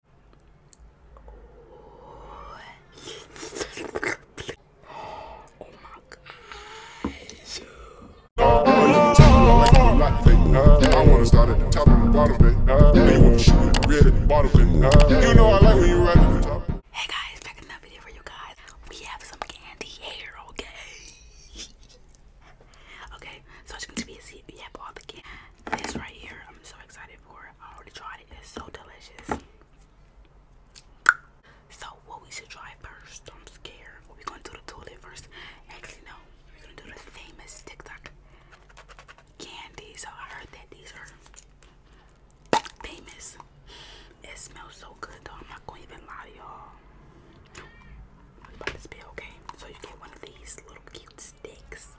Hey guys, back in another video for you guys. We have some candy here, okay? okay, so as you can see, we have all the candy. This right here, I'm so excited for. I already tried it. It's so delicious. So what we should try first? I'm scared. We're gonna do the toilet first. Actually, no. We're gonna do the famous TikTok candy. So I heard that these are famous. It smells so good though. I'm not gonna even lie to y'all. about to spill, okay? So you get one of these little cute sticks.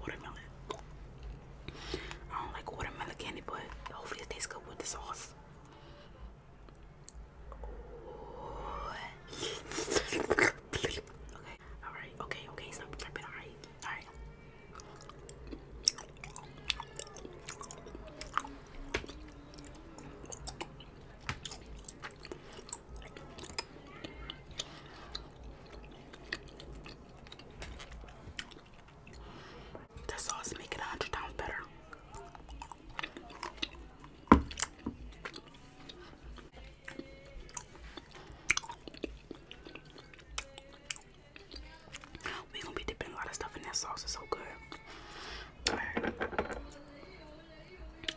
Watermelon. I don't like watermelon candy, but hopefully it tastes good with the sauce. okay, alright, okay, okay, stop tripping, alright, alright. The sauce make a hundred times better. we gonna be dipping a lot of stuff in that sauce, it's so good. Alright.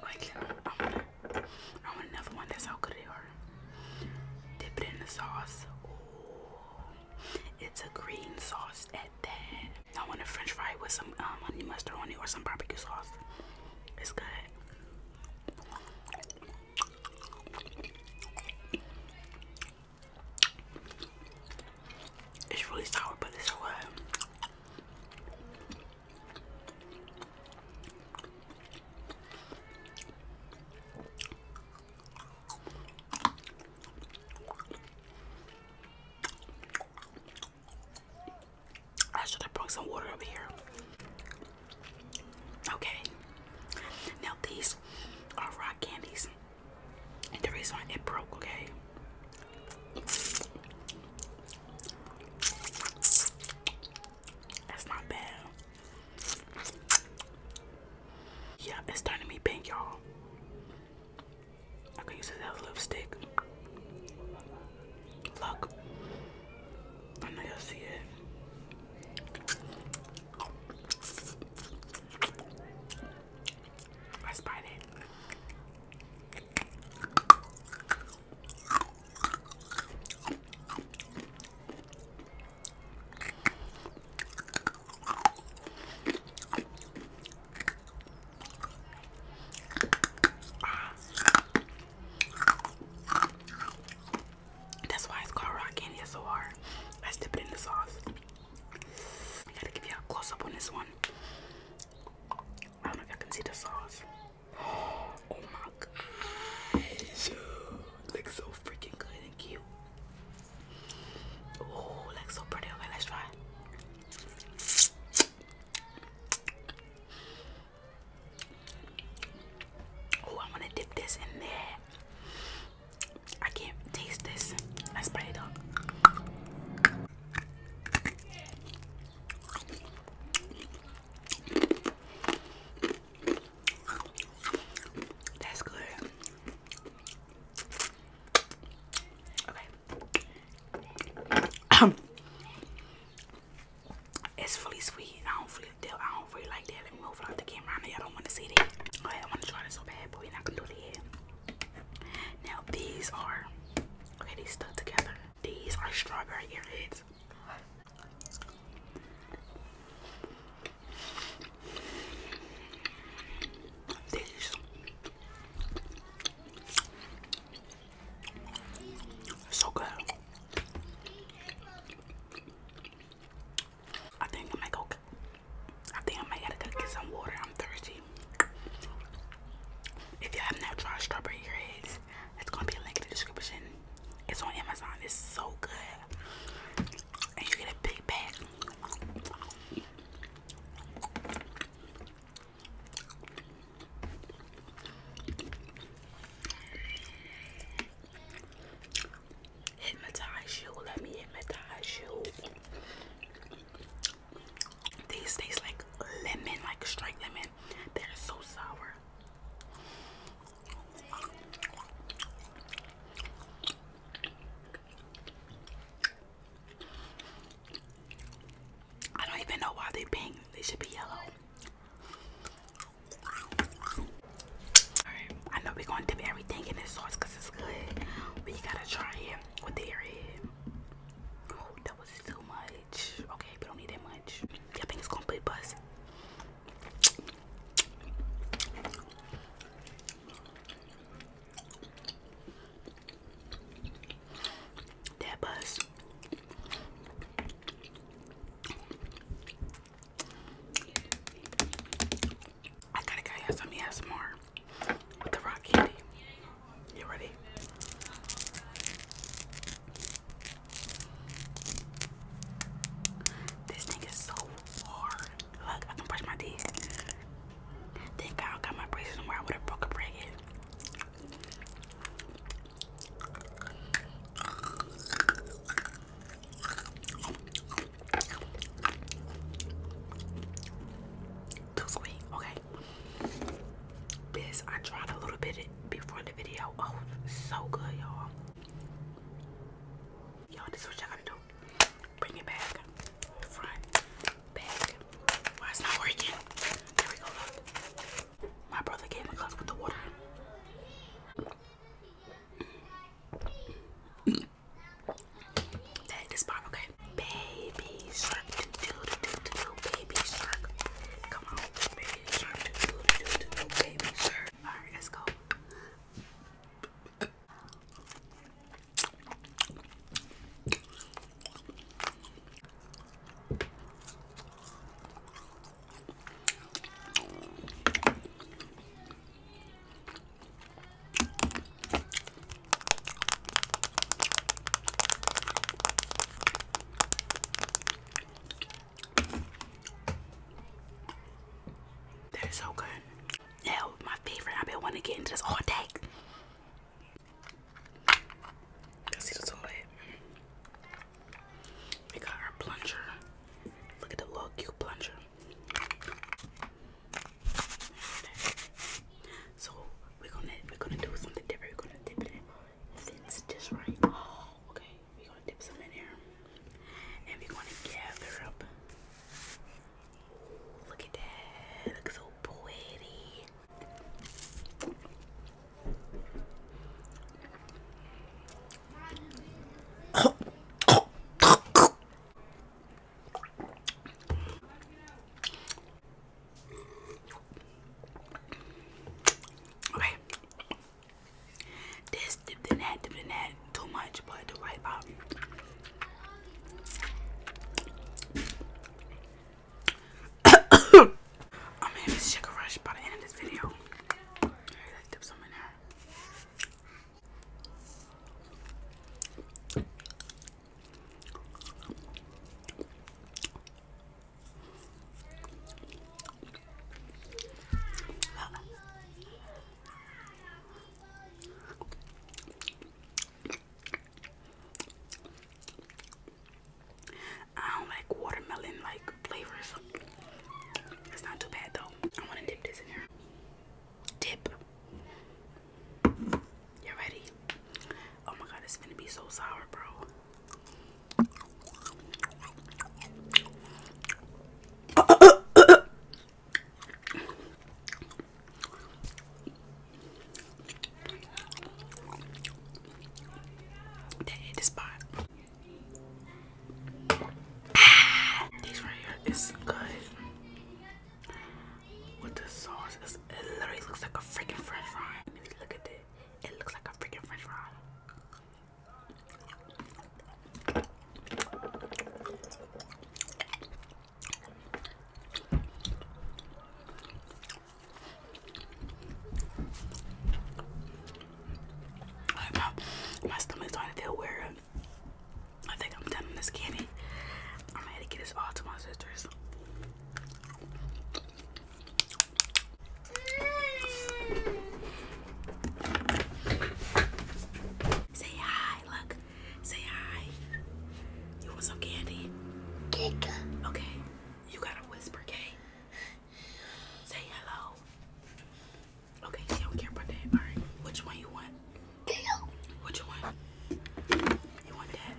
Like, I want, I want another one. That's how good they are. Dip it in the sauce. It's a green sauce at that. I want a french fry with some um, honey mustard on it or some barbecue sauce. It's good. It's really sour, but it's so good. I should have brought some water over here. Okay. Now these are rock candies. And the reason why it broke, okay? That's not bad. Yeah, it's turning me pink, y'all. I could use this as lipstick. Look. I know y'all see it. Let's bite it. Ah. That's why it's called rock and It's so hard. Let's dip it in the sauce. I gotta give you a close up on this one. I don't know if y'all can see the sauce. Oh my gosh. Looks so freaking good and cute. Oh, looks so pretty. Okay, let's try Oh, I'm gonna dip this in there. I can't taste this. Let's bite it up. That's good. Okay. Um, it's fully sweet. I don't feel I don't really like that. Let me move out the camera. I all don't want to see that. I want to try this so bad, but we're not gonna do that. Now these are okay, these stuck together. These are strawberry earheads. These so good. I think I'm like okay. I think I might gotta go get some water. I'm thirsty. If you have not tried strawberry earheads, it's gonna be a link in the description. It's on Amazon. It's so good, and you get a big bag. Hypnotize you. Let me hypnotize you. These taste like lemon, like straight lemon. They're so sour. I don't even know why they pink. They should be yellow. Alright, I know we're gonna dip everything in this sauce it's good. We gotta try it with their head. Oh, that was too much. Okay, we don't need that much. I think it's complete buzz. That buzz. I gotta go have some, yeah, more with the rock candy. You ready? This thing is so hard. Look, I can brush my teeth. Thank I got my braces on I would have broke a break too sweet, okay. This I tried a little bit before the video. Oh, so good, y'all. Y'all, this is what y'all gotta do. Bring it back. Front, back. Why it's not working? There we go, My brother gave a cup with the water. That this part, okay? Baby shark, do do do do do baby shark. Come on, baby shark, do do do do do, baby shark. All right, let's go. They're so good. Now, my favorite. I've been wanting to get into this all day. Let's see the toilet. We got our plunger. Look at the little cute plunger. So we're gonna we're gonna do something different. We're gonna dip it in. It's just right. okay, we're gonna dip some in here, and we're gonna gather up. look at that! looks so pretty. Okay. This didn't have to be that too much, but the right about um, I'm having sugar rush by the end of this video. I don't like watermelon like flavors. It's not too bad though. I want to dip this in here. Dip. You ready? Oh my god, it's gonna be so sour, bro. That hit the spot. these right here is good. What the sauce. is? it literally looks like a freaking french fry. look at it. It looks like a freaking french fry. my, my stomach's starting to feel weird. I think I'm done with this candy. I'm gonna get this all to my sisters. Say hi, look. Say hi. You want some candy? Okay. You gotta whisper, okay? Say hello. Okay, don't care about that. Alright, which one you want? What you want? You want that?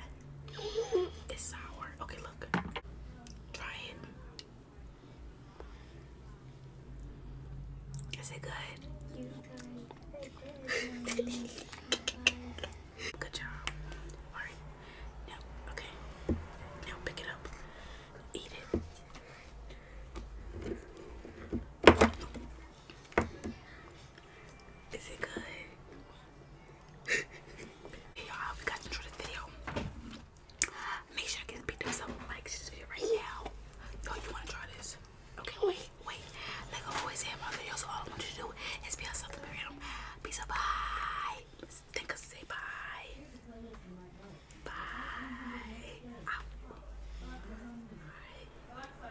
It's sour. Okay, look. Try it. Is it good? good job. Alright. Now, okay. Now pick it up. Eat it. Is it good? hey y'all, we got to enjoy this video. Make sure I get picked up something like right now. Yo, you wanna try this? Okay, wait, wait. Like I always say my videos, all I want you to do is be yourself and marry Peace out, bye. Think of say bye. Bye.